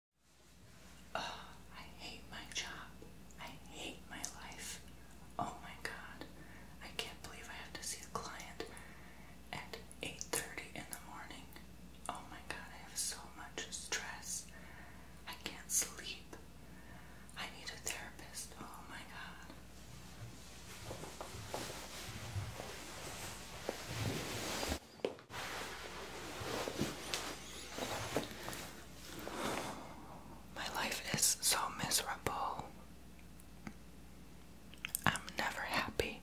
I hate my job. I hate my life. Oh my god. I can't believe I have to see a client at 8:30 in the morning. Oh my god, I have so much stress. I can't sleep. I need a therapist. Oh my god. My life is so miserable. I'm never happy.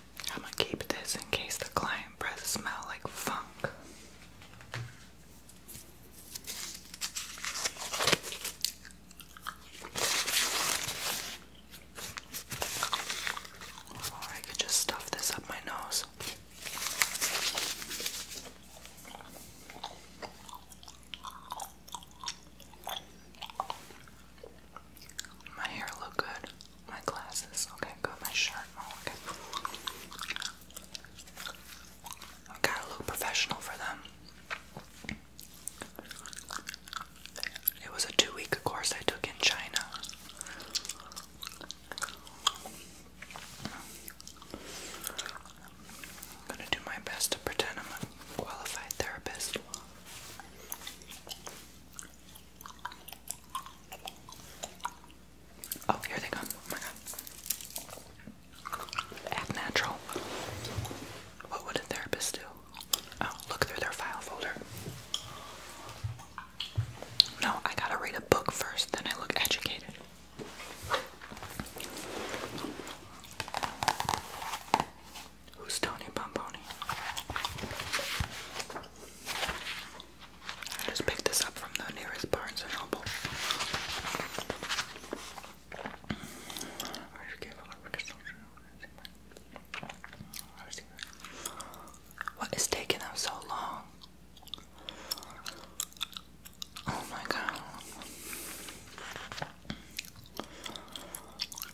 I'm gonna keep this in case the client breath smell like funk. I could just stuff this up my nose. My hair look good. My glasses, okay, good. My shirt, oh, okay. I gotta look professional for them. It was a two-week course I took in China. I'm gonna do my best to pretend I'm a qualified therapist. Oh, here they come. Oh natural. What would a therapist do? Oh, look through their file folder. No, I gotta read a book first, then I look educated. Who's Tony Pomponi? I just picked this up from the nearest Barnes and Noble. What is taking them so long? Oh my god.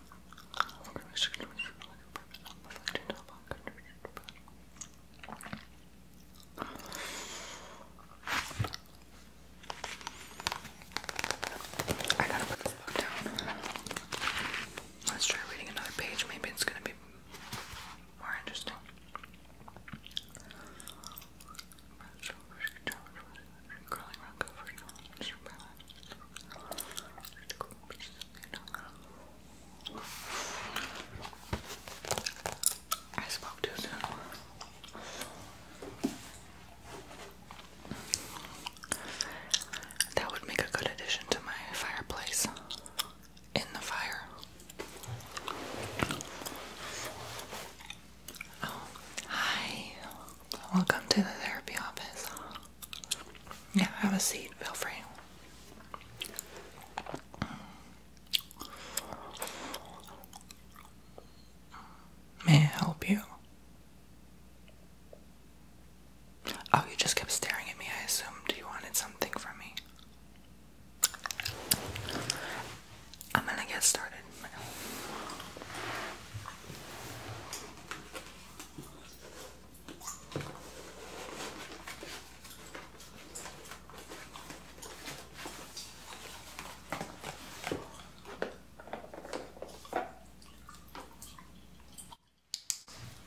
I gotta put this book down. Let's try reading another page. Maybe it's gonna be more interesting. I spoke too soon. That would make a good addition to my fireplace. In the fire. Oh, hi. Welcome to the therapy office. Yeah, have a seat. Feel free. May I help you? Oh, you just kept staring at me. I assumed you wanted something from me. I'm gonna get started.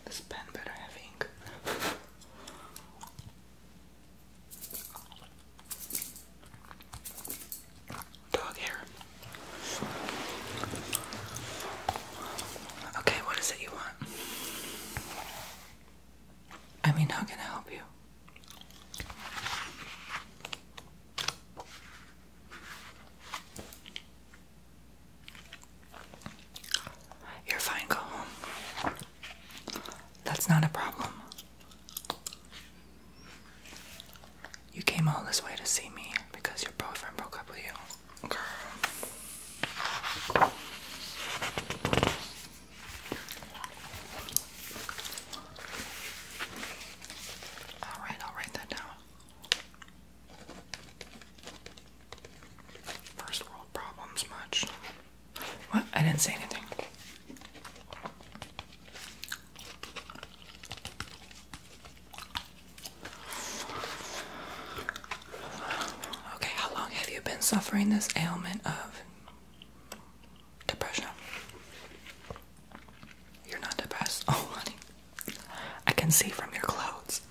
This pen better have ink. Dog hair. Okay, what is it you want? I mean, how can I help you? You're fine, go home. That's not a problem. You came all this way to see me because your boyfriend broke up with you. Girl. Alright, I'll write that down. First world problems, much. What? I didn't say anything. Okay, how long have you been suffering this ailment of depression? You're not depressed. Oh, honey. I can see from your clothes.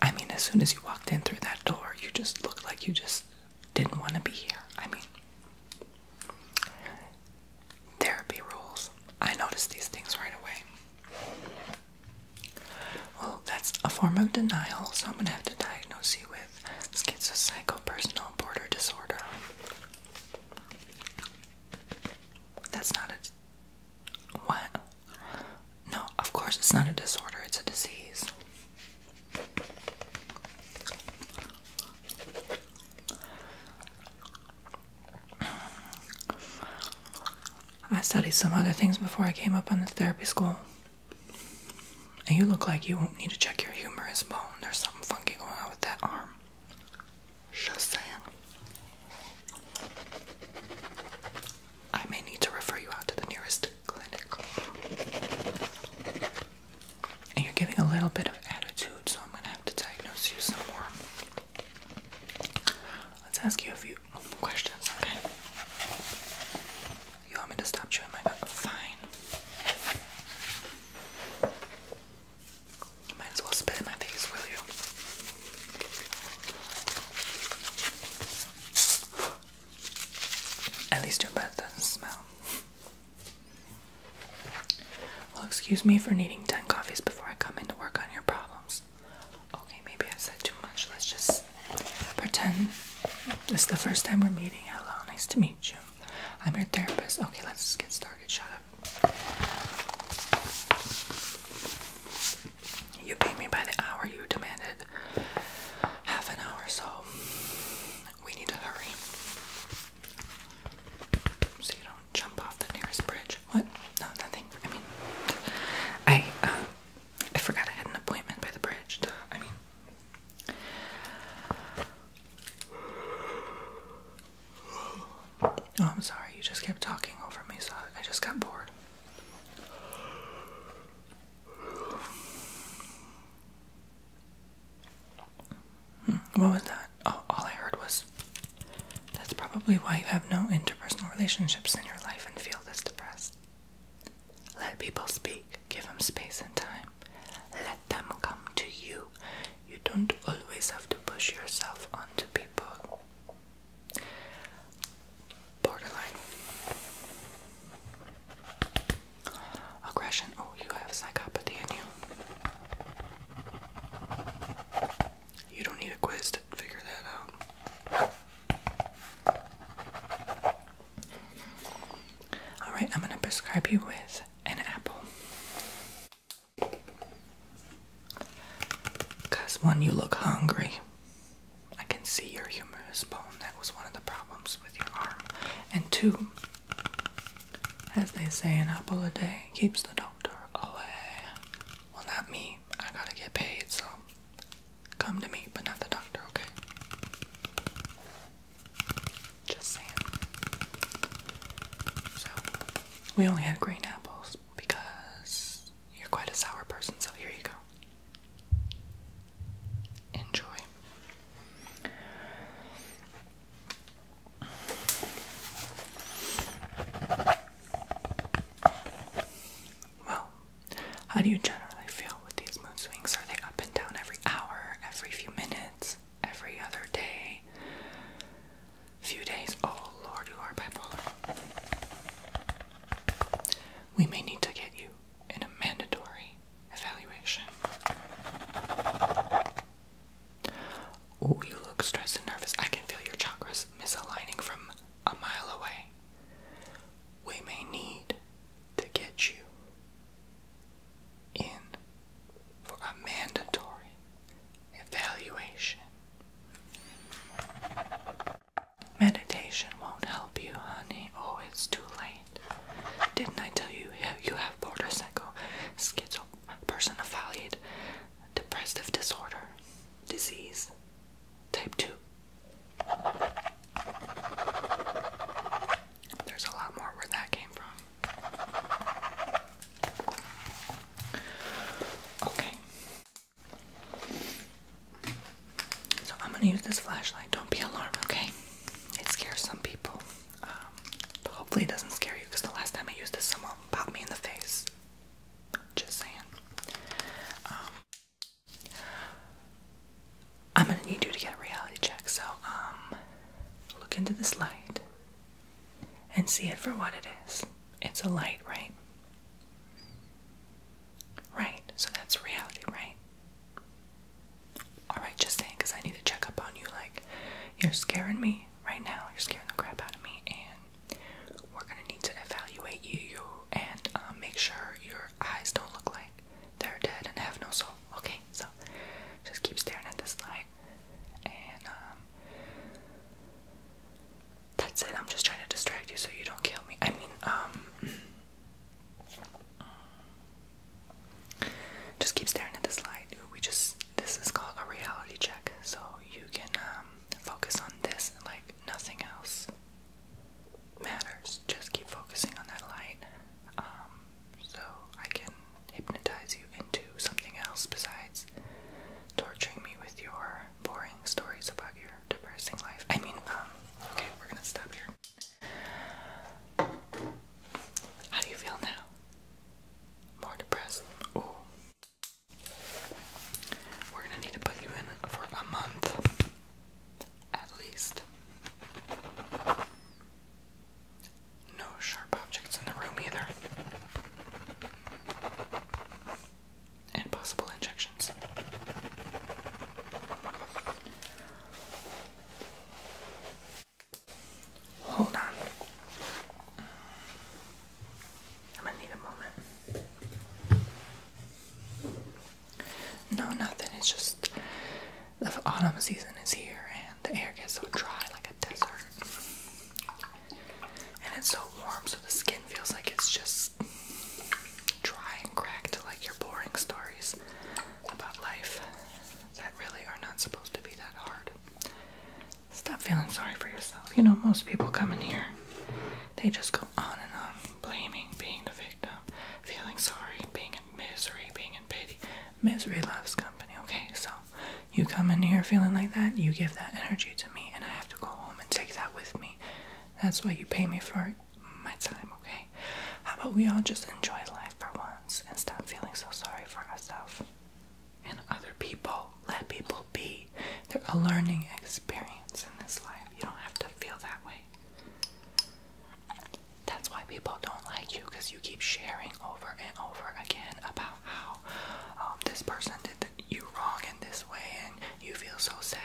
I mean, as soon as you walked in through that door, you just looked like you just didn't want to be here. I mean, Therapy rules. I notice these things right away. Well, that's a form of denial, so I'm gonna have to diagnose you with schizocychopersonal border disorder. That's not a what? No, of course it's not a disorder, it's a disease. I studied some other things before I came up on this therapy school. And you look like you won't need to check your humerus bone. There's something funky going on with that arm. Just saying. I may need to refer you out to the nearest clinic. And you're giving a little bit of attitude, so I'm gonna have to diagnose you some more. Let's ask you a few questions, okay? You want me to stop chewing my butt? Fine. might as well spit in my face, will you? At least your butt doesn't smell. Well, excuse me for needing 10 coffees before I come in to work on your problems. Okay, maybe I said too much. Let's just pretend this is the first time we're meeting. Hello, nice to meet you. I'm your therapist. Okay, let's get started. Shut up. You paid me by the hour. You demanded half an hour, so we need to hurry. So you don't jump off the nearest bridge. What? No, nothing. I mean, I uh, I forgot I had an appointment by the bridge. I mean. Oh, I'm sorry. You just kept talking over me, so I just got bored. What was that? Oh, all I heard was that's probably why you have no interpersonal relationships in your life and feel this depressed. Let people speak, give them space and time. Let them come to you. You don't always have to push yourself onto people. Borderline. Aggression. Oh, you have psychopathy in you. You don't need a quiz to figure that out. Alright, I'm going to prescribe you with an apple. Because, when you look hungry. I can see your humor is bone. That was one of the problems with your arm. And two, as they say, an apple a day keeps the doctor away. Well, not me. I gotta get paid, so come to me, but not the doctor, okay? Just saying. So, we only have green apples because you're quite a sour person, so here you go. Enjoy. Well, how do you generally feel with these mood swings? Are they up and down every hour, every few minutes, every other day, few days? Oh Lord, you are bipolar. We may need to get you in a mandatory evaluation. Oh, you look stressed and nervous. I can feel your chakras misaligning from a mile away. We may need to get you in for a mandatory evaluation. Meditation won't help you, honey. Oh, it's too late. Didn't I tell you you have borderline, psycho, personified, depressive disorder, disease, type 2? There's a lot more where that came from. Okay. So I'm gonna use this flashlight. Don't be alarmed, okay? It scares some people but um, hopefully it doesn't scare you because the last time I used this, someone popped me in the face. Just saying. Um, I'm gonna need you to get a reality check. So, um, look into this light and see it for what it is. It's a light, right? Right. So that's reality, right? Alright, just saying, I need to check up on you. Like, you're scaring me right now. You're scaring the crap out of me, and we're gonna need to evaluate you and um, make sure your eyes don't look like they're dead and have no soul. Okay, so just keep staring at this light, and um, that's it. I'm just trying to distract you so you don't kill me. I mean, um, just keep staring at the slide. We just this is called a reality check, so you can um, focus on this like nothing else matters. Just keep focusing on that light, um, so I can hypnotize you into something else besides torturing me with your boring stories about your depressing life. I mean, um, okay, we're gonna stop here. How do you feel now? More depressed. Ooh. We're gonna need to put you in for a month. At least. No sharp objects in the room either. And possible injections. Hold on. I'm gonna need a moment. No, nothing. It's just the autumn season is here and the air gets so dry like a desert. And it's so warm, so the skin feels like it's just dry and cracked, like your boring stories about life that really are not supposed to be that hard. Stop feeling sorry for yourself. You know, most people come in here, they just go on and on blaming, being the victim, feeling sorry, being in misery, being in pity. Misery loves company, okay? So you come in here feeling like that, you give that energy to me, and I have to go home and take that with me. That's why you pay me for my time, okay? How about we all just enjoy life for once and stop feeling so sorry for ourselves and other people? Let people be. They're a learning experience in this life. You don't have to feel that way. That's why people don't like you because you keep sharing over and over again about how um, this person did you wrong in this way and you feel so sad.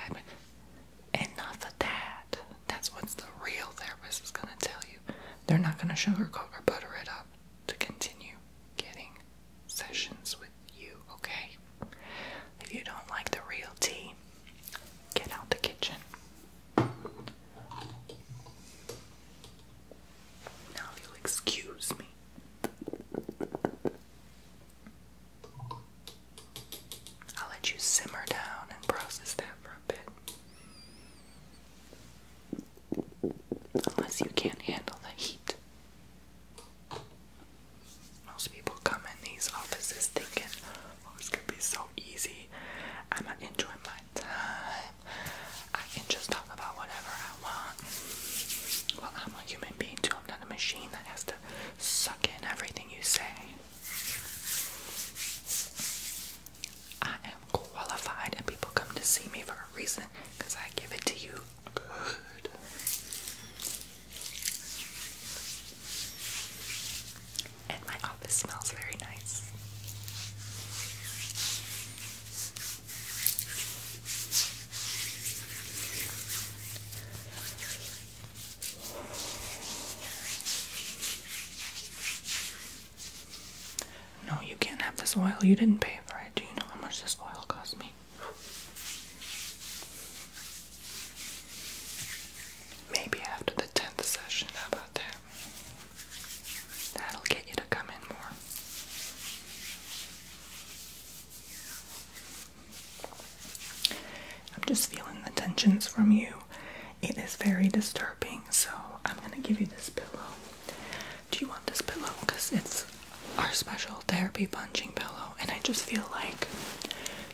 Enough of that. That's what the real therapist is going to tell you. They're not going to sugarcoat or butter it up to continue getting sessions with you, okay? If you don't like the real tea, get out the kitchen. Now you'll excuse me. I'll let you simmer down and process that for a bit. Unless you can't handle the heat. Most people come in these offices thinking, oh, it's gonna be so easy. I'm gonna enjoy my time. I can just talk about whatever I want. Well, I'm a human being too. I'm not a machine that has to suck in everything you say. I am qualified, and people come to see me for a reason because I give it to you good. And my office smells very nice. No, you can't have this oil. You didn't pay for it. Do you know how much this oil cost me? Maybe after the 10th session, how about that? That'll get you to come in more. I'm just feeling the tensions from you it is very disturbing, so I'm gonna give you this pillow. Do you want this pillow? Because it's our special therapy punching pillow, and I just feel like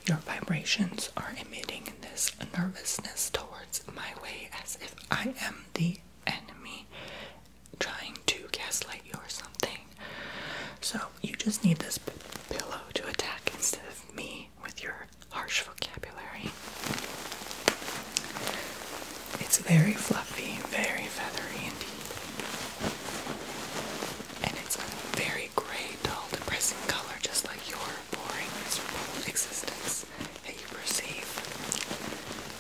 your vibrations are emitting this nervousness towards my way as if I am the enemy trying to gaslight you or something. So, you just need this pillow to attack instead of me with your harsh vocabulary. It's very fluffy, very feathery indeed. And it's a very grey, dull, depressing color, just like your boring, miserable existence that you perceive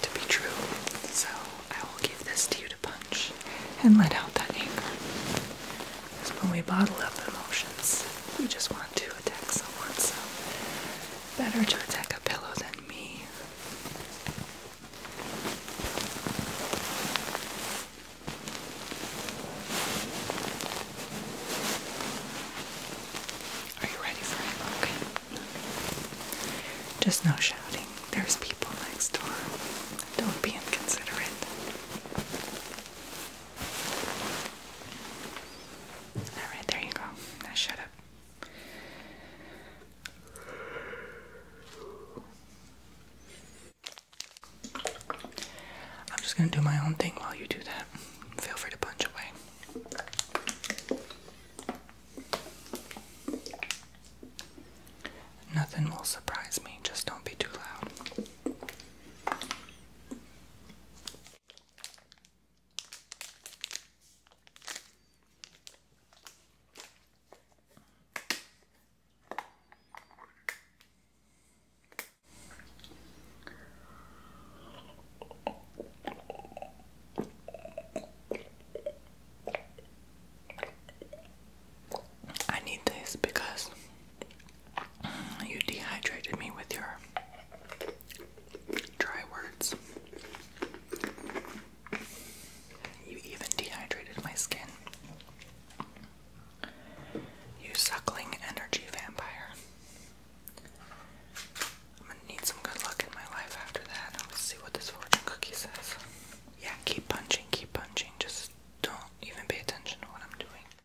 to be true. So I will give this to you to punch and let out that anger. Because when we bottle up emotions, we just want to attack someone. So Better to attack a pillow than me. Are you ready for it? Okay. Just no shouting. There's people next door. Don't be inconsiderate. Alright, there you go. Now shut up. I'm just gonna do my own thing while you do that. Feel free to punch away. Nothing will surprise me, just don't be too loud. I need this because you dehydrated me with your Dry words. You even dehydrated my skin. You suckling energy vampire. I'm gonna need some good luck in my life after that. Let's see what this fortune cookie says. Yeah, keep punching, keep punching. Just don't even pay attention to what I'm doing.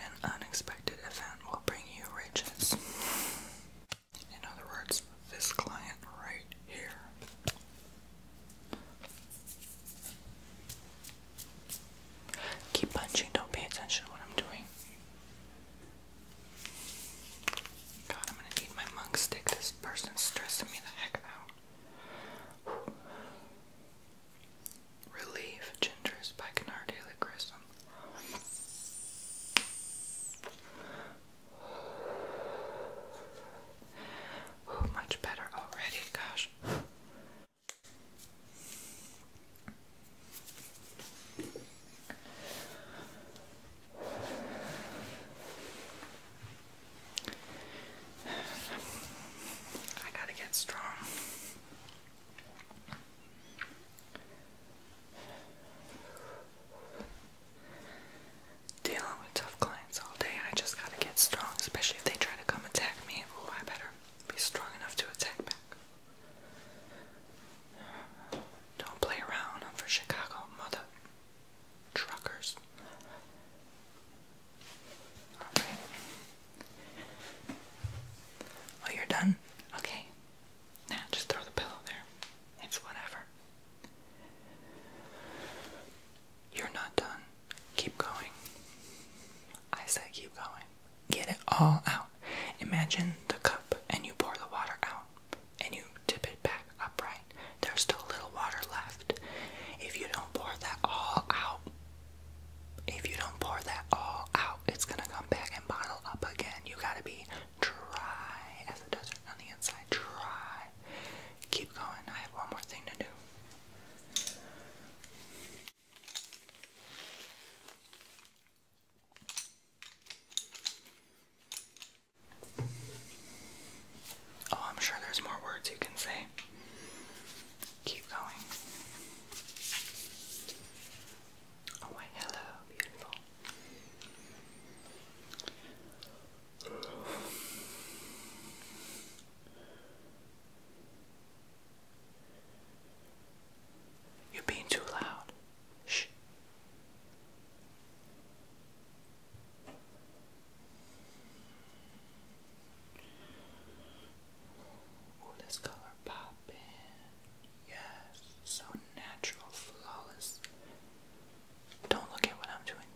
An unexpected event will bring you riches. In other words, this client right here. Keep punching, don't pay attention to what I'm doing. God, I'm gonna need my monk stick. This person's stressing me the heck out. Relief Gingers by Kennard Haley Grissom. Ooh, much better already, gosh. I gotta get strong. Dealing with tough clients all day, I just gotta get strong, especially if they try to come attack me. I better be strong enough to attack back. Don't play around. I'm for Chicago, mother truckers. Oh, you're done? Okay. Now just throw the pillow there. It's whatever. You're not done. Keep going. I say keep going. Get it all out. Imagine the cup and you pour the water out and you tip it back upright. There's still a little water left. If you don't pour that all out, if you don't pour that all out, it's gonna come back and bottle up again. You gotta be dry as a desert on the inside. Dry. Keep going. I have one more thing to do. Oh, I'm sure there's more words you can say. Keep going. Oh, wait, hello, beautiful. You're being too loud. Shh. Ooh, this color popping. Yes, so natural, flawless. Don't look at what I'm doing.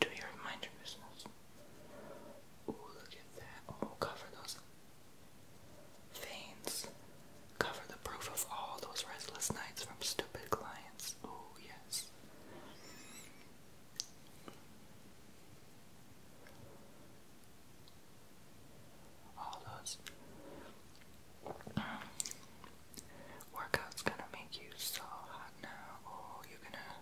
Do your mind your look at that. Oh, cover those veins. Cover the proof of all those restless nights from stupid clients. Oh, yes. All those um, workouts gonna make you so hot now. Oh, you're gonna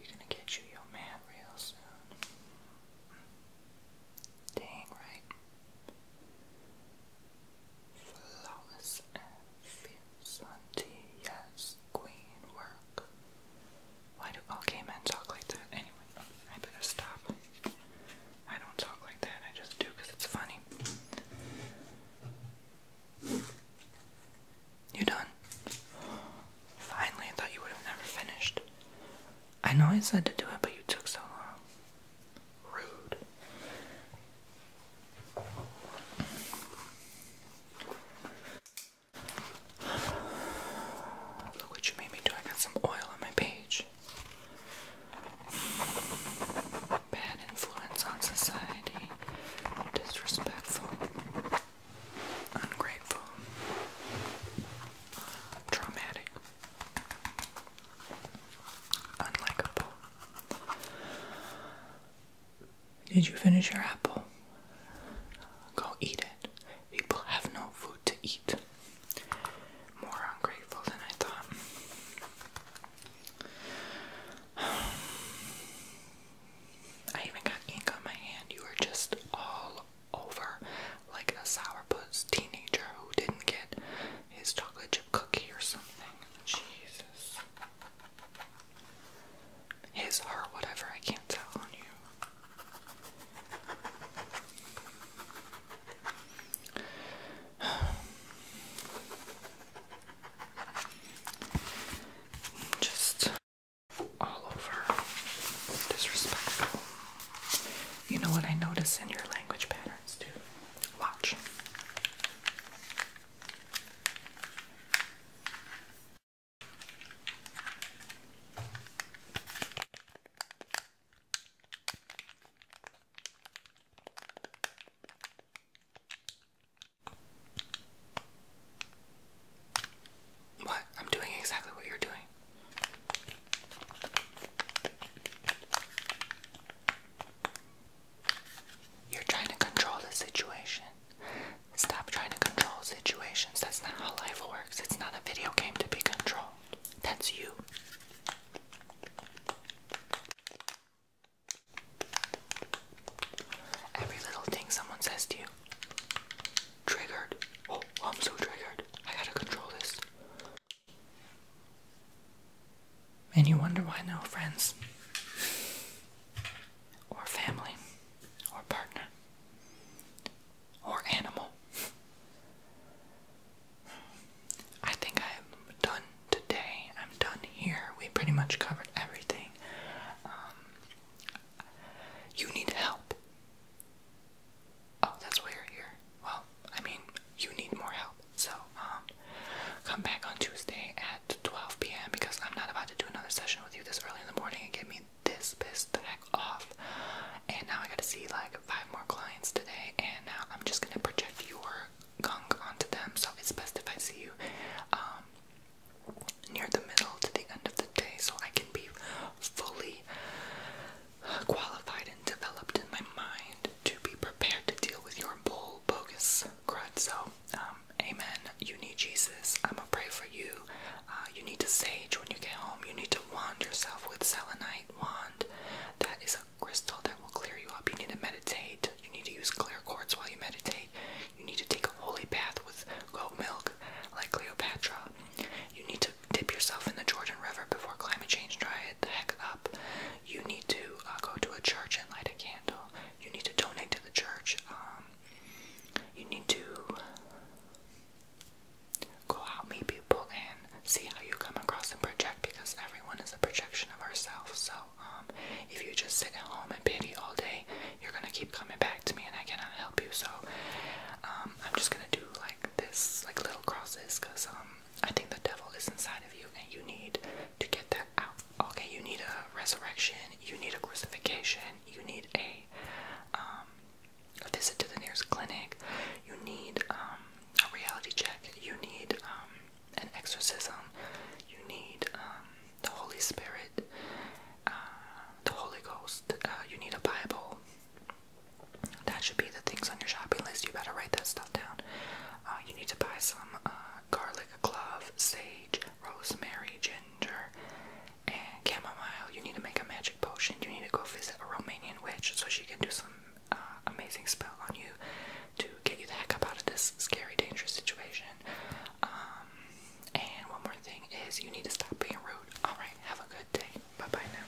you're gonna get you your man real soon. Dang right flawless and Vincentia's queen work. Why do all gay men talk like that? Anyway, I better stop. I don't talk like that, I just do it's funny. You done? Finally, I thought you would have never finished. I know I said to do it, but you took so long. Rude. Look what you made me do. I got some oil on my page. Bad influence on society. Disrespectful. Ungrateful. Traumatic. Unlikable. Did you finish your apple? Go eat it. People have no food to eat. More ungrateful than I thought. I even got ink on my hand. You were just all over like a sourpuss teenager who didn't get his chocolate chip cookie or something. Jesus. His, or whatever, I can't tell on you. Just all over disrespectful. You know what I notice in your language patterns too. Watch. What? I'm doing exactly what you're doing. You're trying to control the situation. Stop trying to control situations. That's not how life works. It's not a video game to be controlled. That's you. Every little thing someone says to you. Triggered. Oh, I'm so triggered. I gotta control this. And you wonder why no friends, or family, or partner, or animal. I think I'm done today. I'm done here. We pretty much covered everything. Um, you need help. Oh, that's why you're here. Well, I mean, you need more help. So, um, come back on Tuesday at 12 p.m. because I'm not about to do another session with you this early in the morning and get me this pissed the heck off. And now I gotta see like five more clients today, and now I'm just gonna project your gunk onto them. So it's best if I see you um, near the middle to the end of the day so I can be fully qualified and developed in my mind to be prepared to deal with your bull bogus crud. So um, amen. You need Jesus. I'm gonna pray for you. Uh, you need to sage when you get home. You need to wand yourself with selenite wand. That is a crystal that will clear you up. You need to meditate. You need to use clear quartz while you meditate. You need to take a holy bath with goat milk, like Cleopatra. You need to dip yourself in the Jordan River before climate change dry it the heck up you need to uh, go to a church and light a candle. You need to donate to the church. Um, you need to go out, meet people, and see how you come across and project because everyone is a projection of ourselves. So, um, if you just sit at home and pity all day, you're gonna keep coming back to me, and I cannot help you. So, um, I'm just gonna do like this, like little crosses, because I think the devil is inside of you, and you need to get that Okay, you need a resurrection, you need a crucifixion, you need a um a visit to the nearest clinic, you need um a reality check, you need um an exorcism, you need um the Holy Spirit, uh, the Holy Ghost, uh, you need a Bible. That should be the things on your shopping list. You better write that stuff down. Uh, you need to buy some uh, garlic clove, sage, rosemary, ginger, and chamomile. You need to make a magic potion. You need to go visit a Romanian witch so she can do some uh, amazing spell on you to get you the heck up out of this scary, dangerous situation. Um, and one more thing is you need to stop being rude. Alright, have a good day. Bye bye now.